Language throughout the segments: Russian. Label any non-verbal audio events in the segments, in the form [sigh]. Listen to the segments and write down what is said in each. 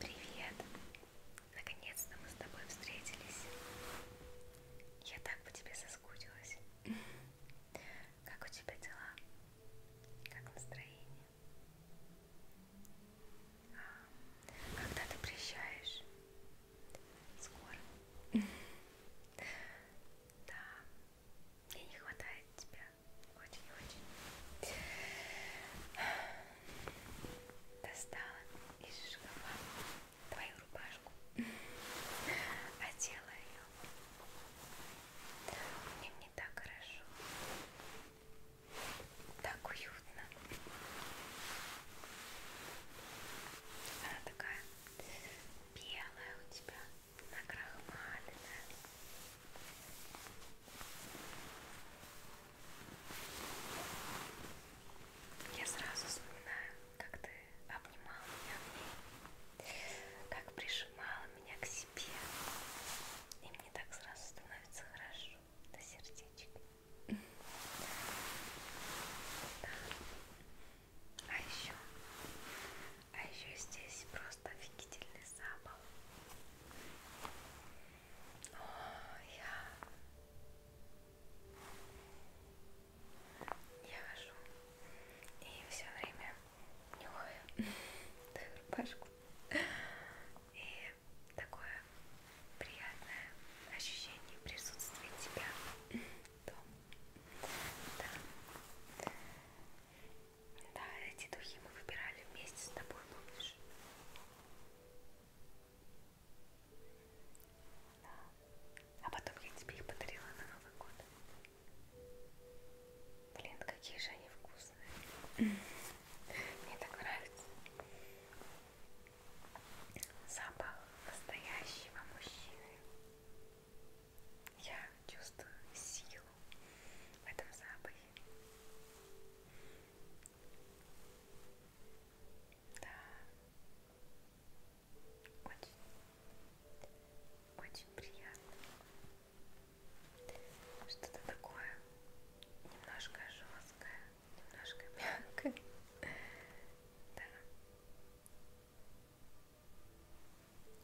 Привет! Наконец-то мы с тобой встретились. Я так по тебе соскучилась. Как у тебя дела? Как настроение? А, когда ты приезжаешь? Скоро. [laughs] Да, мне не хватает тебя. Очень-очень достала из шкафа твою рубашку, одела ее. Мне не так хорошо, так уютно. Она такая белая у тебя, накрахмаленная. Я сразу вспоминаю, как ты обнимал меня, как прижимала меня к себе. И мне так сразу становится хорошо до сердечек. Да. А еще, а еще здесь просто офигительный запах я... я хожу и все время нюхаю [laughs] твою рубашку. И такое приятное ощущение присутствия тебя дома. Да. да, эти духи мы выбирали вместе с тобой, помнишь? Да. А потом я тебе их подарила на Новый год. Блин, какие же они вкусные. Мне так нравится. Запах настоящего мужчины. Я чувствую силу в этом запахе. Да. Очень, очень приятно. Что-то такое немножко жесткое, немножко [laughs] мягкое. Да.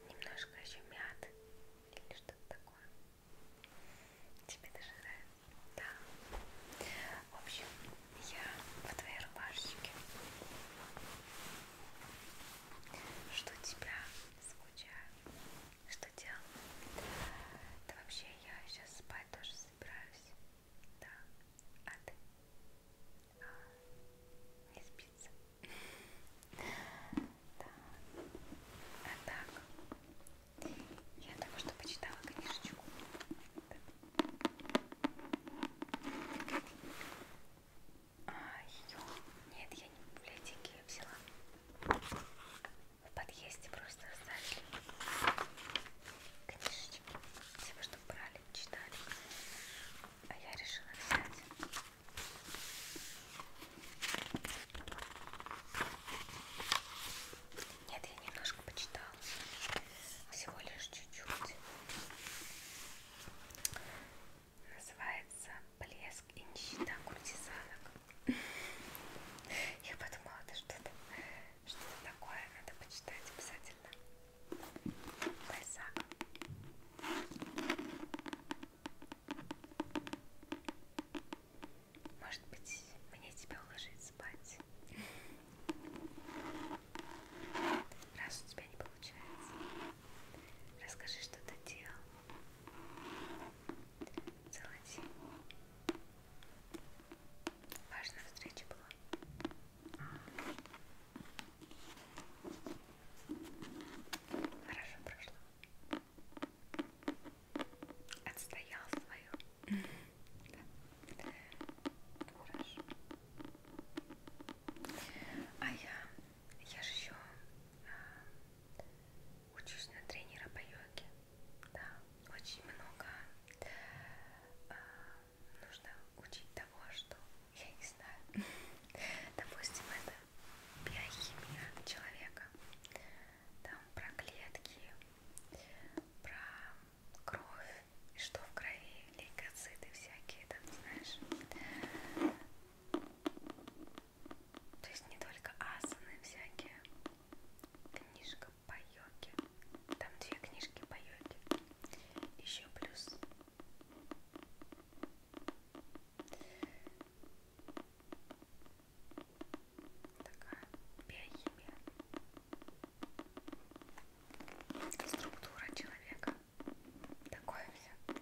Немножко еще мяты или что-то такое. Тебе даже нравится? Да. В общем, я в твоей рубашечке. Что тебя скучаю? Что делал? Да вообще я сейчас спать тоже собираюсь. Да. А ты? А, не спится. [laughs] Да. А так, я только что почитала книжечку. А, ее... Нет, я не в библиотеке ее взяла. В подъезде просто оставили книжечки. Все, что брали, читали. А я решила взять. Нет, я немножко почитала. Всего лишь чуть-чуть. Называется «Блеск и нищета куртизанок». Я подумала, это что-то что такое. Надо почитать обязательно. Байзак. Может быть, мне тебя уложить спать? Раз у тебя не получается, расскажи, что ты делал. Целый день. Важная встреча была. Хорошо прошло. Отстоял свою. Да. Хорошо. А я, я же еще а, учусь на тренера по йоге. Да, очень много а, нужно учить того, что я не знаю. Допустим, это биохимия человека, там про клетки, про кровь и что в крови, лейкоциты всякие там, знаешь. То есть не только асаны всякие. Книжка по йоге. Там две книжки по йоге. Еще плюс такая биохимия структура человека такое все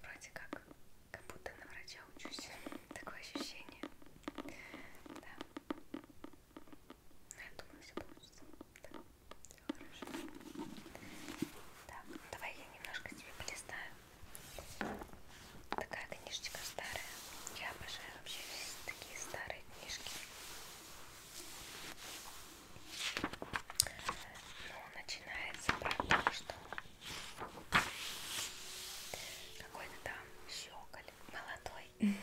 вроде как как будто на врача учусь такое ощущение да ну, я думаю все получится да. Все хорошо так давай я немножко тебе полистаю Такая книжечка старая. Я обожаю вообще такие старые книжки. Ну, начинается про то, что какой-то там щеколь молодой. [laughs]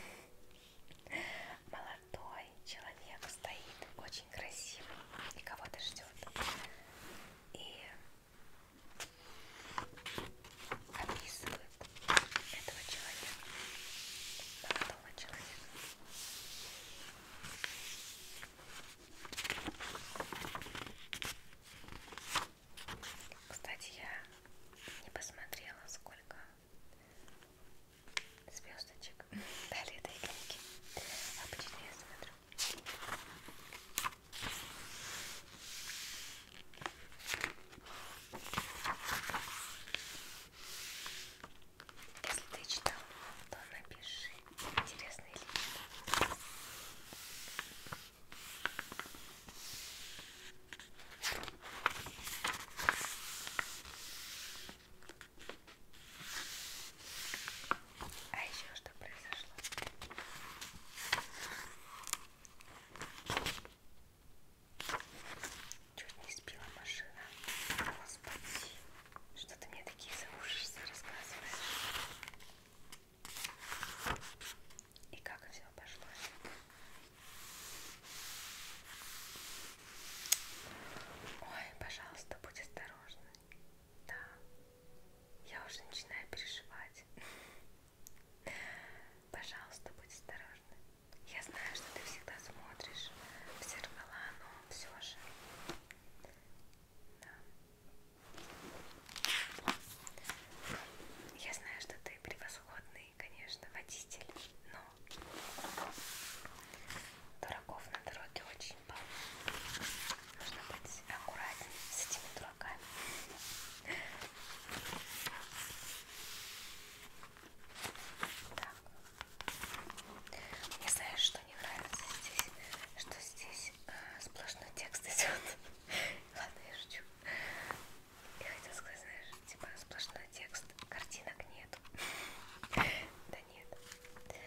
Молодой человек стоит, очень красивый и кого-то ждет. И описывает этого человека, молодого человека. Кстати, я не посмотрела, сколько звездочек [laughs] дали этой книги. А Обычно я смотрю. Если ты читал, то напиши интересные линии. А еще что произошло? Чуть не сбила машина. Господи, что ты мне такие заушицы рассказываешь? И как все обошлось? Ой, пожалуйста, будь осторожна. Да, я уже начинаю переживать. Пожалуйста, будь осторожна. Я знаю, что ты всегда смотришь в зеркала, но все же. Да. Я знаю, что ты превосходный, конечно, водитель, но дураков на дороге очень полно. Нужно быть аккуратнее с этими дураками. Так. Мне знаешь, что не нравится здесь? Что здесь э, сплошной текст идет. [laughs] Ладно, я шучу. Я хотела сказать, знаешь, типа сплошной текст, картинок нету. [laughs] Да нет.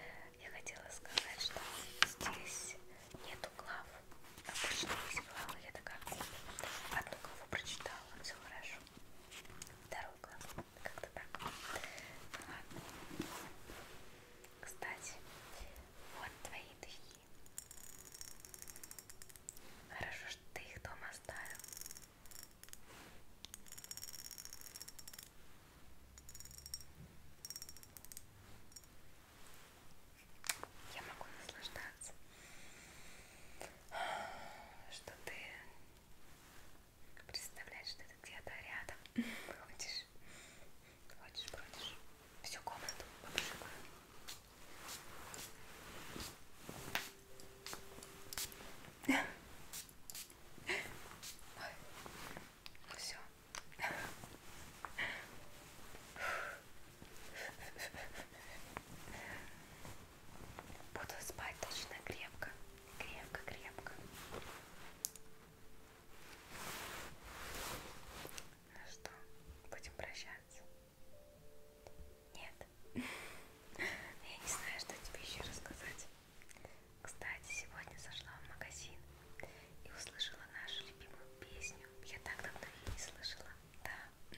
Я хотела сказать, что здесь нету глав. Обычно есть главы, я такая одну главу прочитала вот все хорошо. Второй глаз, как-то так. Ну ладно. Кстати, вот твои духи. Хорошо, что ты их дома оставил. Я могу наслаждаться что ты представляешь, что ты где-то рядом ходишь, ходишь, бродишь всю комнату побежала. Ой, ну все. Буду спать точно крепко, крепко, крепко. Ну что, будем прощаться? Нет. [laughs] Я не знаю, что тебе еще рассказать. Кстати, сегодня зашла в магазин и услышала нашу любимую песню. Я так давно ее не слышала. Да.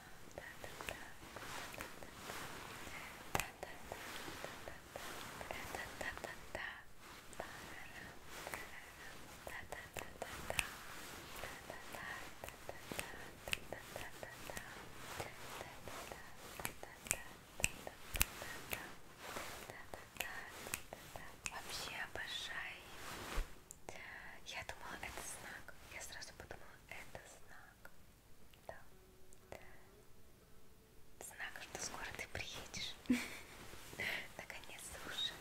Вообще обожаю Я думала, это знак. Я сразу подумала, это знак. Да. Знак, что скоро ты приедешь. [laughs] Наконец-то уже.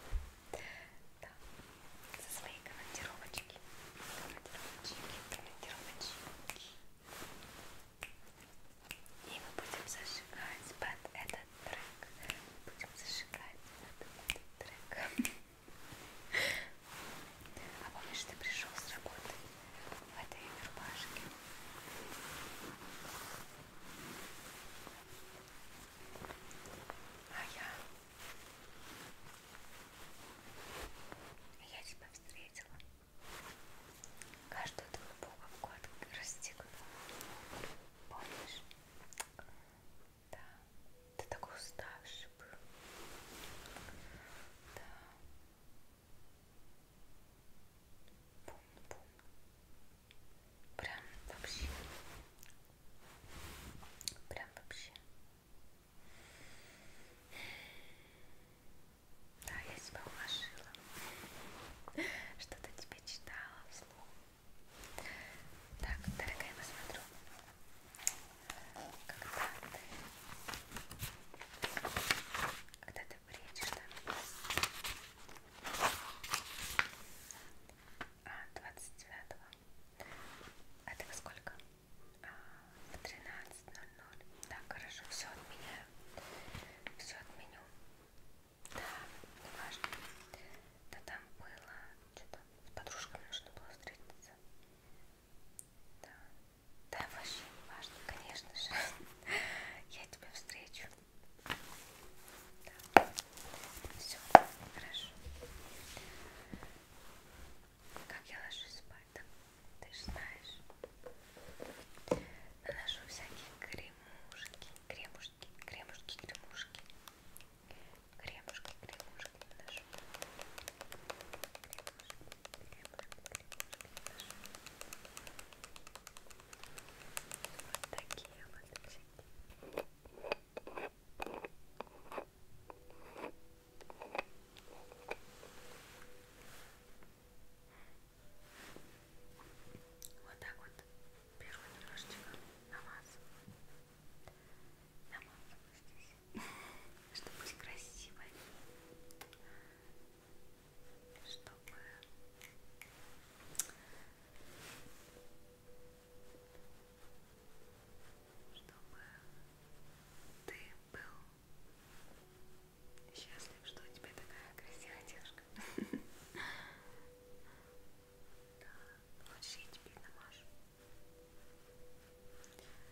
Да. Со своей командировочки. Командировочки, командировочки. И мы будем зажигать под этот трек. Будем зажигать под этот трек. [laughs] А помнишь, ты пришел с работы в этой рубашке? А я... Я тебя встретила. Каждую твою пуговку расстегнула. Помнишь? Да. Ты такой уставший был. Да. Бум-бум. Прям вообще. Прям вообще. Да, я тебя уложила. Что-то тебе читала вслух. Так, дорогая, посмотрю когда ты, когда ты приедешь там, а, 29-го, а ты во сколько? А, в 13.00, да, хорошо, все отменяю, все отменю, да, не важно, да там было, что-то с подружками нужно было встретиться. Да. да, вообще не важно, конечно же. [laughs] Я тебя встречу. Да. Все, хорошо. Как я ложусь спать? Да? Ты же знаешь. Наношу всякие кремушки, кремушки, кремушки, кремушки. Кремушки, кремушки, нашу вот такие вот всякие вот так вот беру немножечко намазываю намазываю здесь чтобы быть красивой, чтобы чтобы ты был счастлив, что у тебя такая красивая девушка. [laughs] Да, хочешь я тебе намажу?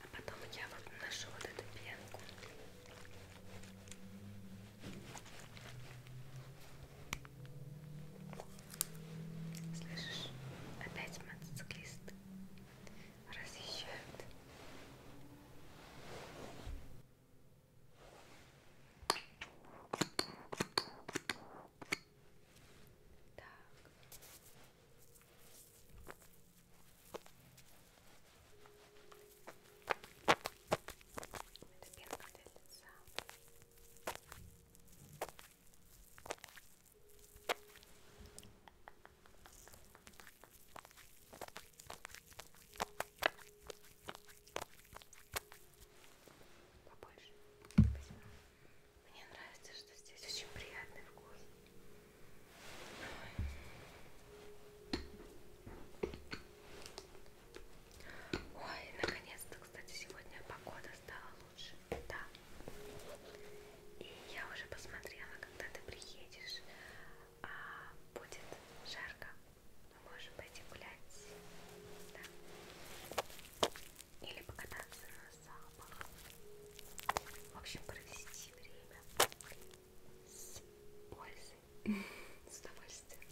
А потом я вот наношу вот эту пенку. Слышишь, опять мотоциклисты разъезжают. Так. Это пенка для лица. Побольше. Спасибо. Мне нравится, что здесь очень приятный вкус. Ой, наконец-то, кстати, сегодня погода стала лучше. Да. И я уже посмотрела, когда ты приедешь, а будет жарко. Мы можем пойти гулять. Да. Или покататься на запах. В общем, провести время с пользой, [laughs] с удовольствием,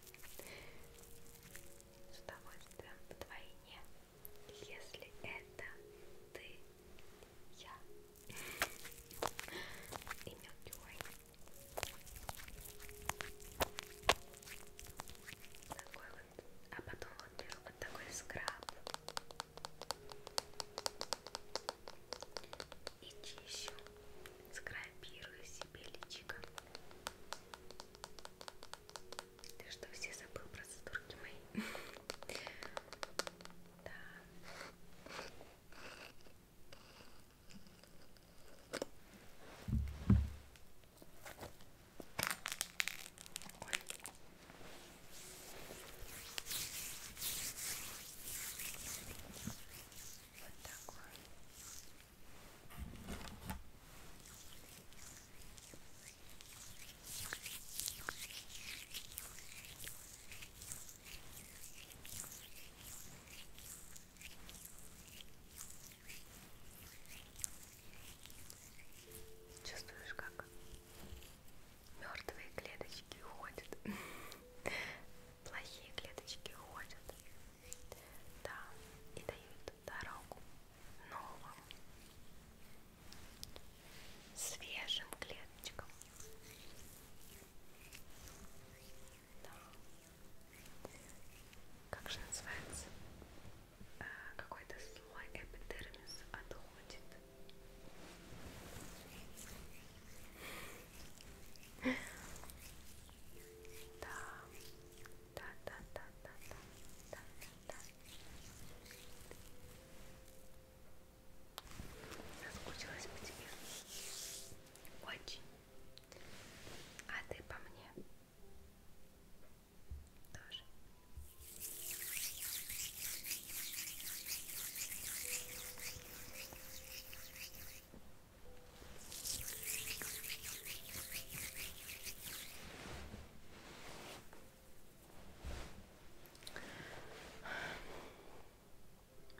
с удовольствием вдвойне, если это ты, я и Милкивой. Такой вот, а потом вот, вот такой скраб и чищу, скрабирую себе личико. Ты что, все забыл про задурки мои? [laughs] Да. Ой. Вот такой. Чувствуешь, как Мертвые клеточки уходят. [laughs] Плохие клеточки уходят. Да, и дают дорогу новым, свежим клеточкам. Да. Как же называется? Э, какой-то слой эпидермиса отходит. Да, да, да, да, да, да, да, да. Соскучилась по тебе. Очень. А ты по мне? тоже.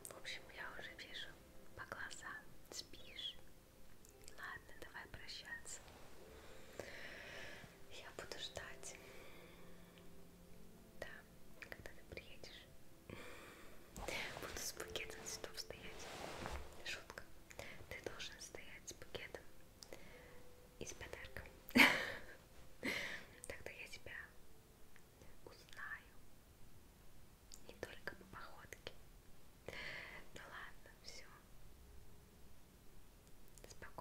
В общем, я уже вижу по глазам, спишь. Ладно, давай прощаться. Я буду ждать. Да, когда ты приедешь. Буду с пакетом цветов стоять. Шутка. Ты должен стоять с пакетом и с подарком. [laughs] Тогда я тебя узнаю. Не только по походке. Ну ладно, все. Спокойной